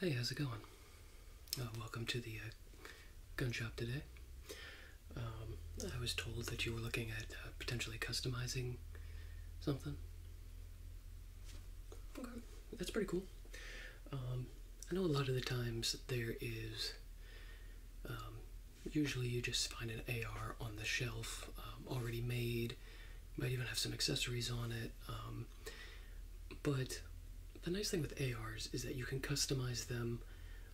Hey, how's it going? Uh, welcome to the uh, gun shop today. Um, I was told that you were looking at uh, potentially customizing something. Okay, that's pretty cool. Um, I know a lot of the times there is. Um, usually you just find an AR on the shelf already made. might even have some accessories on it. But the nice thing with ARs is that you can customize them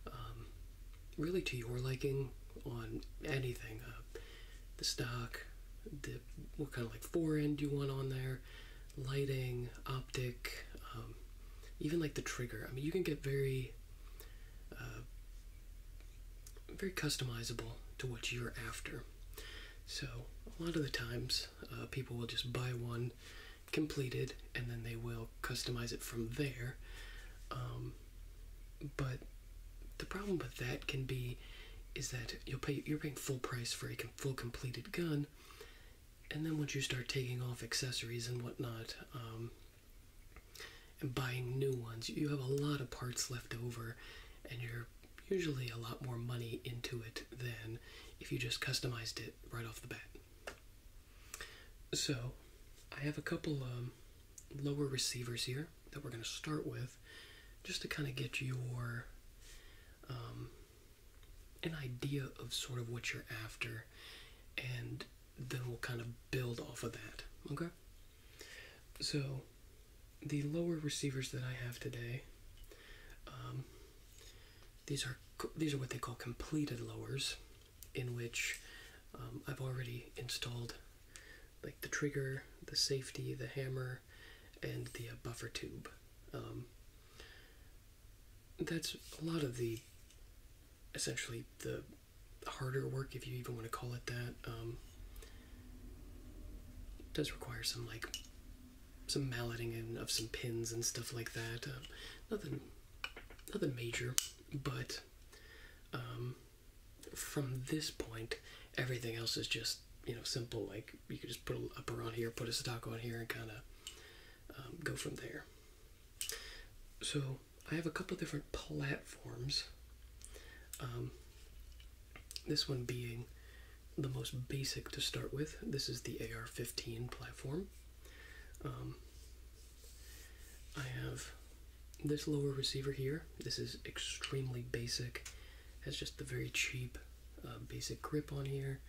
um, really to your liking on anything uh, the stock, the, what kind of like forend you want on there, lighting, optic, um, even like the trigger. I mean, you can get very. Uh, very customizable to what you're after. So a lot of the times, uh, people will just buy one completed, and then they will customize it from there. Um, but the problem with that can be is that you'll pay you're paying full price for a full completed gun, and then once you start taking off accessories and whatnot. Um, and buying new ones, you have a lot of parts left over, and you're usually a lot more money into it than if you just customized it right off the bat. So, I have a couple um, lower receivers here that we're going to start with just to kind of get your um, an idea of sort of what you're after and then we'll kind of build off of that okay so the lower receivers that I have today, um, these are these are what they call completed lowers, in which um, I've already installed like the trigger, the safety, the hammer, and the uh, buffer tube. Um, that's a lot of the essentially the harder work, if you even want to call it that does require some like some malleting and of some pins and stuff like that. Uh, nothing, nothing major, but um, from this point, everything else is just you know simple. Like you can just put a upper on here, put a stock on here, and kind of um, go from there. So I have a couple different platforms. Um, this one being the most basic to start with. This is the AR 15 platform. Um, I have this lower receiver here. This is extremely basic, has just the very cheap uh, basic grip on here.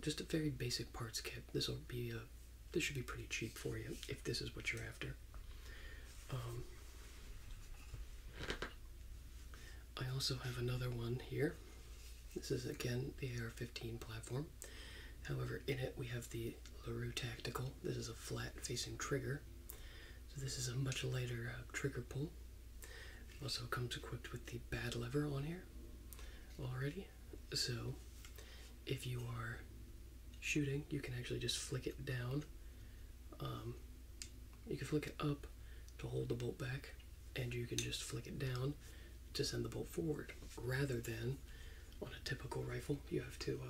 Just a very basic parts kit. This will be a uh, this should be pretty cheap for you if this is what you're after. Um, I also have another one here. This is again the AR-15 platform. However, in it we have the LaRue Tactical. This is a flat facing trigger. So this is a much lighter uh, trigger pull. also comes equipped with the bad lever on here already. So if you are shooting, you can actually just flick it down um, you can flick it up to hold the bolt back, and you can just flick it down to send the bolt forward. Rather than on a typical rifle, you have to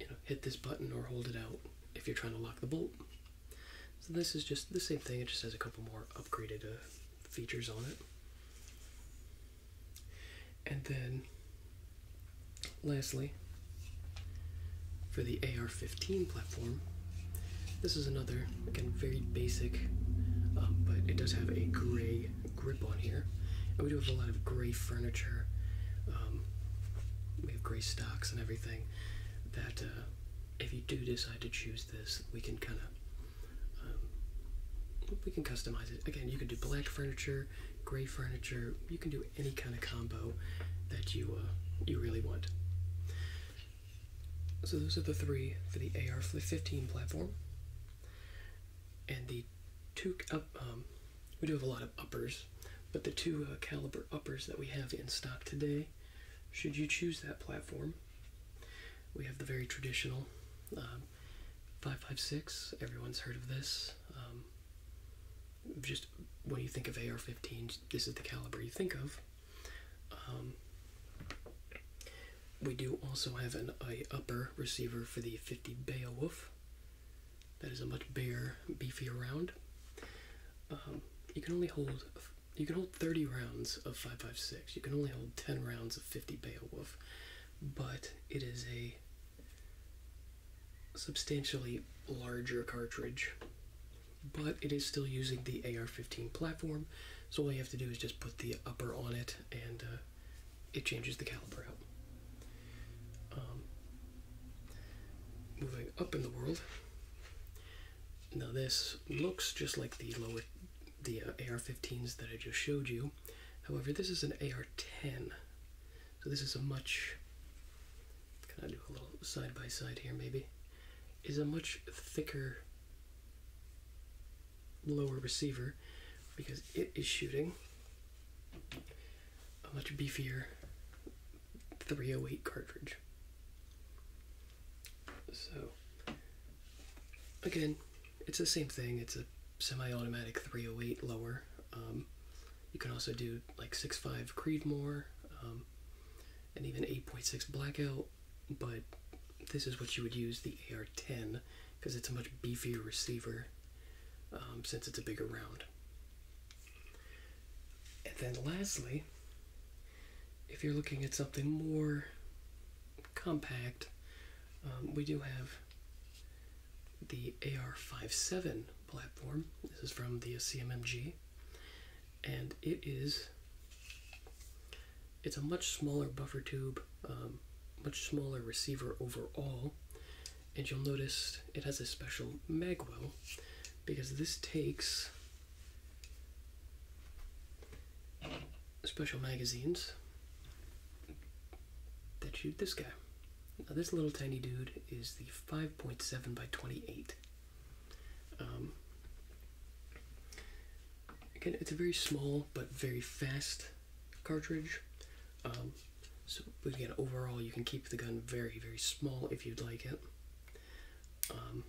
uh, hit this button or hold it out if you're trying to lock the bolt. So this is just the same thing. It just has a couple more upgraded uh, features on it. And then Lastly, for the AR-15 platform, this is another again very basic, um, but it does have a gray grip on here, and we do have a lot of gray furniture. Um, we have gray stocks and everything. That uh, if you do decide to choose this, we can kind of um, we can customize it. Again, you can do black furniture, gray furniture. You can do any kind of combo that you uh, you really want. So those are the three for the AR-15 platform, and the two um, we do have a lot of uppers, but the two uh, caliber uppers that we have in stock today, should you choose that platform, we have the very traditional um, 556. Everyone's heard of this. Um, just what do you think of AR-15s, this is the caliber you think of. Um, we do also have an upper receiver for the 50 Beowulf. That is a much bigger, beefier round. Um, you can only hold you can hold 30 rounds of 5.56. You can only hold 10 rounds of 50 Beowulf, but it is a substantially larger cartridge, but it is still using the AR-15 platform, so all you have to do is just put the upper on it and uh, it changes the caliber out. Um, moving up in the world, now this looks just like the lower, the uh, AR-15s that I just showed you. However, this is an AR-10, so this is a much, can I do a little side by side here maybe, is a much thicker lower receiver because it is shooting a much beefier 308 cartridge. So again, it's the same thing. It's a semi-automatic 308 lower. Um, you can also do like 6.5 Creedmoor um, and even 8.6 Blackout, but this is what you would use the AR-10 because it's a much beefier receiver um, since it's a bigger round. And then lastly, if you're looking at something more compact, um, we do have the AR57 platform. This is from the CMMG, and it is it's a much smaller buffer tube, um, much smaller receiver overall, and you'll notice it has a special magwell because this takes special magazines that shoot this guy. Now, this little tiny dude is the 5.7 by 28. Um, again, it's a very small but very fast cartridge. Um, so, again, overall, you can keep the gun very, very small if you'd like it. Um,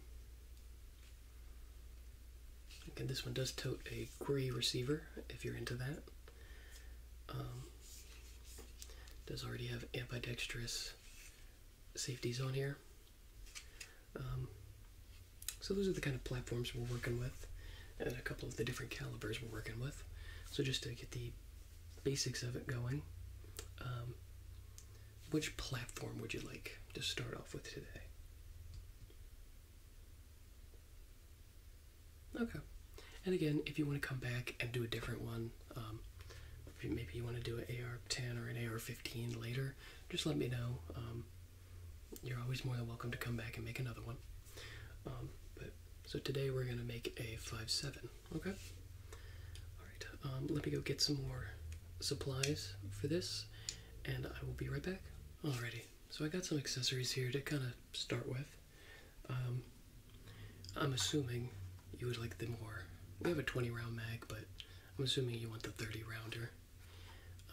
again, this one does tote a query receiver if you're into that. Um, does already have ambidextrous safeties on here. Um, so those are the kind of platforms we're working with and a couple of the different calibers we're working with. So just to get the basics of it going, um, which platform would you like to start off with today? Okay. And again, if you want to come back and do a different one, um, maybe you want to do an AR-10 or an AR-15 later, just let me know. Um, you're always more than welcome to come back and make another one. Um, but so today we're gonna make a five seven. Okay. All right. let me go get some more supplies for this, and I will be right back. Alrighty. So I got some accessories here to kind of start with. Um, I'm assuming you would like the more. We have a 20 round mag, but I'm assuming you want the 30 rounder.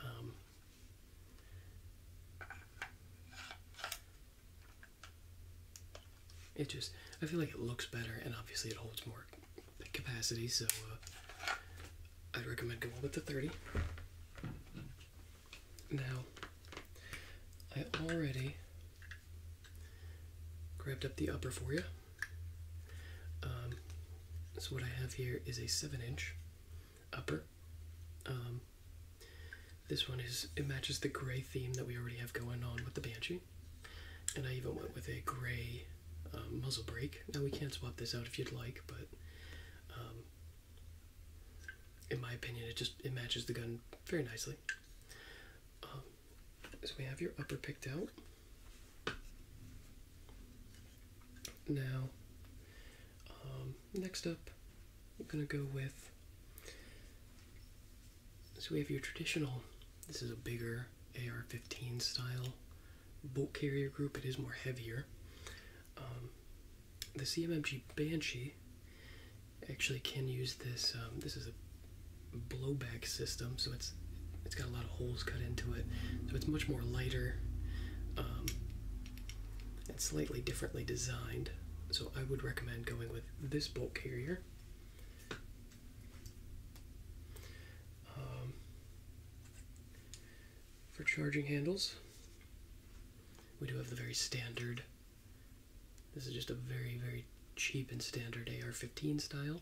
Um, it just, I feel like it looks better, and obviously it holds more capacity, so uh, I'd recommend going with the 30. Now, I already grabbed up the upper for you. Um, so, what I have here is a 7 inch upper. Um, this one is, it matches the gray theme that we already have going on with the Banshee. And I even went with a gray uh, muzzle break. Now, we can not swap this out if you'd like, but um, in my opinion, it just it matches the gun very nicely. Um, so we have your upper picked out. Now, um, next up, I'm gonna go with. So we have your traditional. This is a bigger AR-15 style bolt carrier group. It is more heavier. Um, the CMMG Banshee actually can use this. Um, this is a blowback system, so it's it's got a lot of holes cut into it, so it's much more lighter um, and slightly differently designed. So I would recommend going with this bolt carrier. Um, for charging handles. We do have the very standard. This is just a very, very cheap and standard AR 15 style.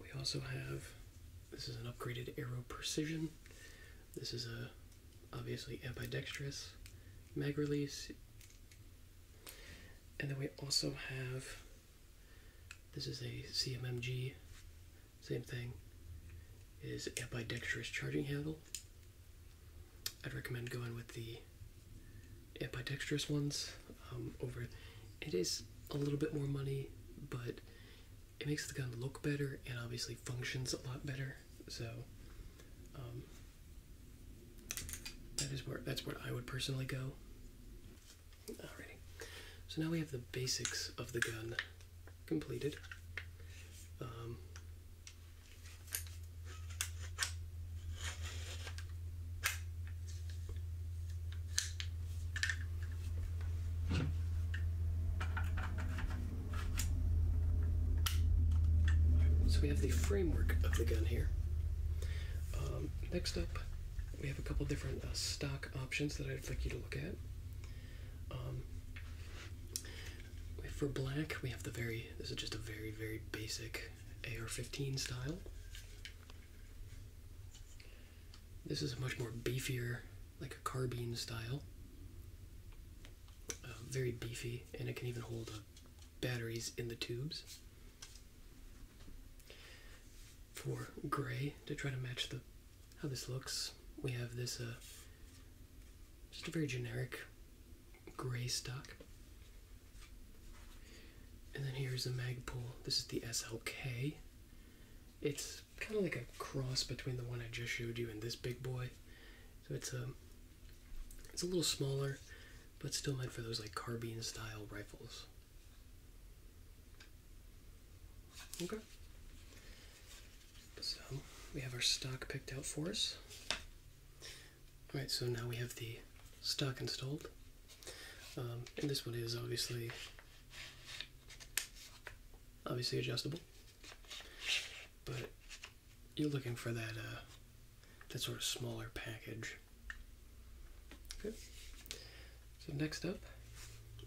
We also have this is an upgraded Arrow Precision. This is a obviously ambidextrous mag release. And then we also have this is a CMMG same thing is ambidextrous charging handle. I'd recommend going with the ambidextrous ones um, over. It is a little bit more money, but it makes the gun look better and obviously functions a lot better. So um, that is where that's where I would personally go. Alrighty. So now we have the basics of the gun completed. Um, so we have the framework of the gun here. Um, next up, we have a couple different uh, stock options that I'd like you to look at. Um, for black, we have the very, this is just a very, very basic AR-15 style. This is a much more beefier, like a carbine style. Uh, very beefy, and it can even hold batteries in the tubes. For gray, to try to match the how this looks. We have this, uh, just a very generic gray stock. And then here's a Magpul. This is the SLK. It's kind of like a cross between the one I just showed you and this big boy. So it's a, um, it's a little smaller, but still meant for those like carbine style rifles. Okay. So we have our stock picked out for us. Alright, so now we have the stock installed. Um, and this one is obviously obviously adjustable. But you're looking for that uh, that sort of smaller package. Okay. So next up,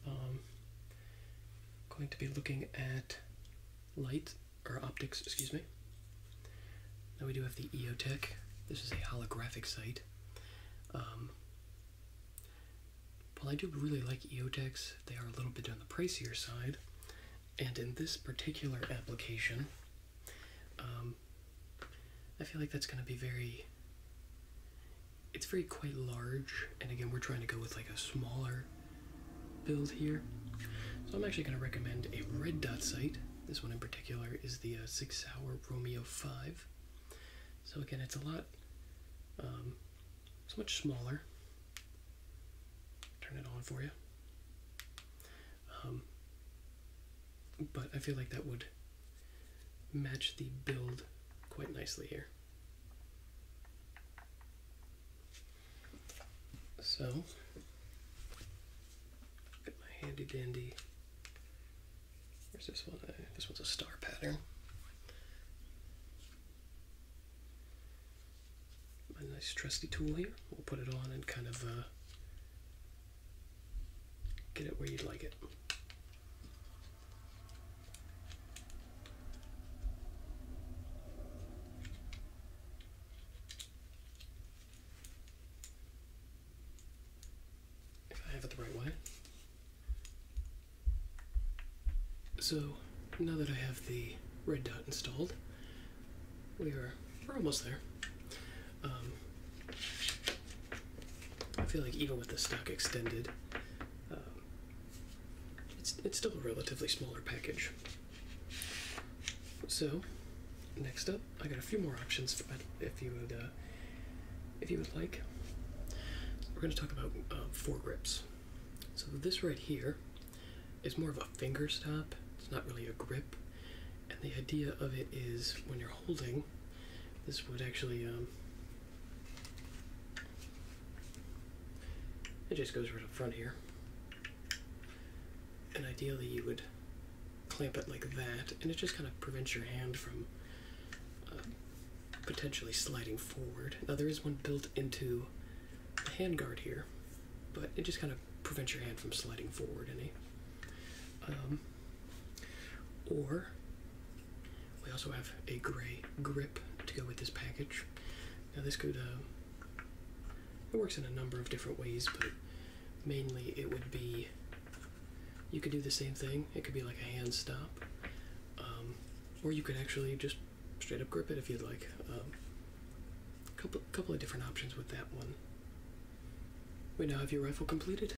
I'm um, going to be looking at light or optics, excuse me. Now we do have the EOTech. This is a holographic sight. Um, well, I do really like EOTechs. They are a little bit on the pricier side, and in this particular application, um, I feel like that's going to be very it's very quite large and again we're trying to go with like a smaller build here so i'm actually going to recommend a red dot sight this one in particular is the uh, six hour romeo 5 so again it's a lot um, it's much smaller turn it on for you um, but i feel like that would match the build quite nicely here so, got my handy dandy. Where's this one? Uh, this one's a star pattern. My nice trusty tool here. We'll put it on and kind of uh, get it where you'd like it. If I have it the right way. So now that I have the red dot installed, we are we're almost there. Um, I feel like even with the stock extended, um, it's, it's still a relatively smaller package. So, next up, I got a few more options for, if you would uh, if you would like. We're going to talk about uh, um, foregrips. So this right here is more of a finger stop. It's not really a grip, and the idea of it is when you're holding, this would actually um, it just goes right up front here. And ideally you would clamp it like that, and it just kind of prevents your hand from um, potentially sliding forward. Now there is one built into the handguard here, but it just kind of prevents your hand from sliding forward any. Um, or we also have a gray grip to go with this package. Now this could uh, it works in a number of different ways, but mainly it would be you could do the same thing. It could be like a hand stop, um, or you could actually just straight up grip it if you'd like. A um, couple couple of different options with that one. We now have your rifle completed.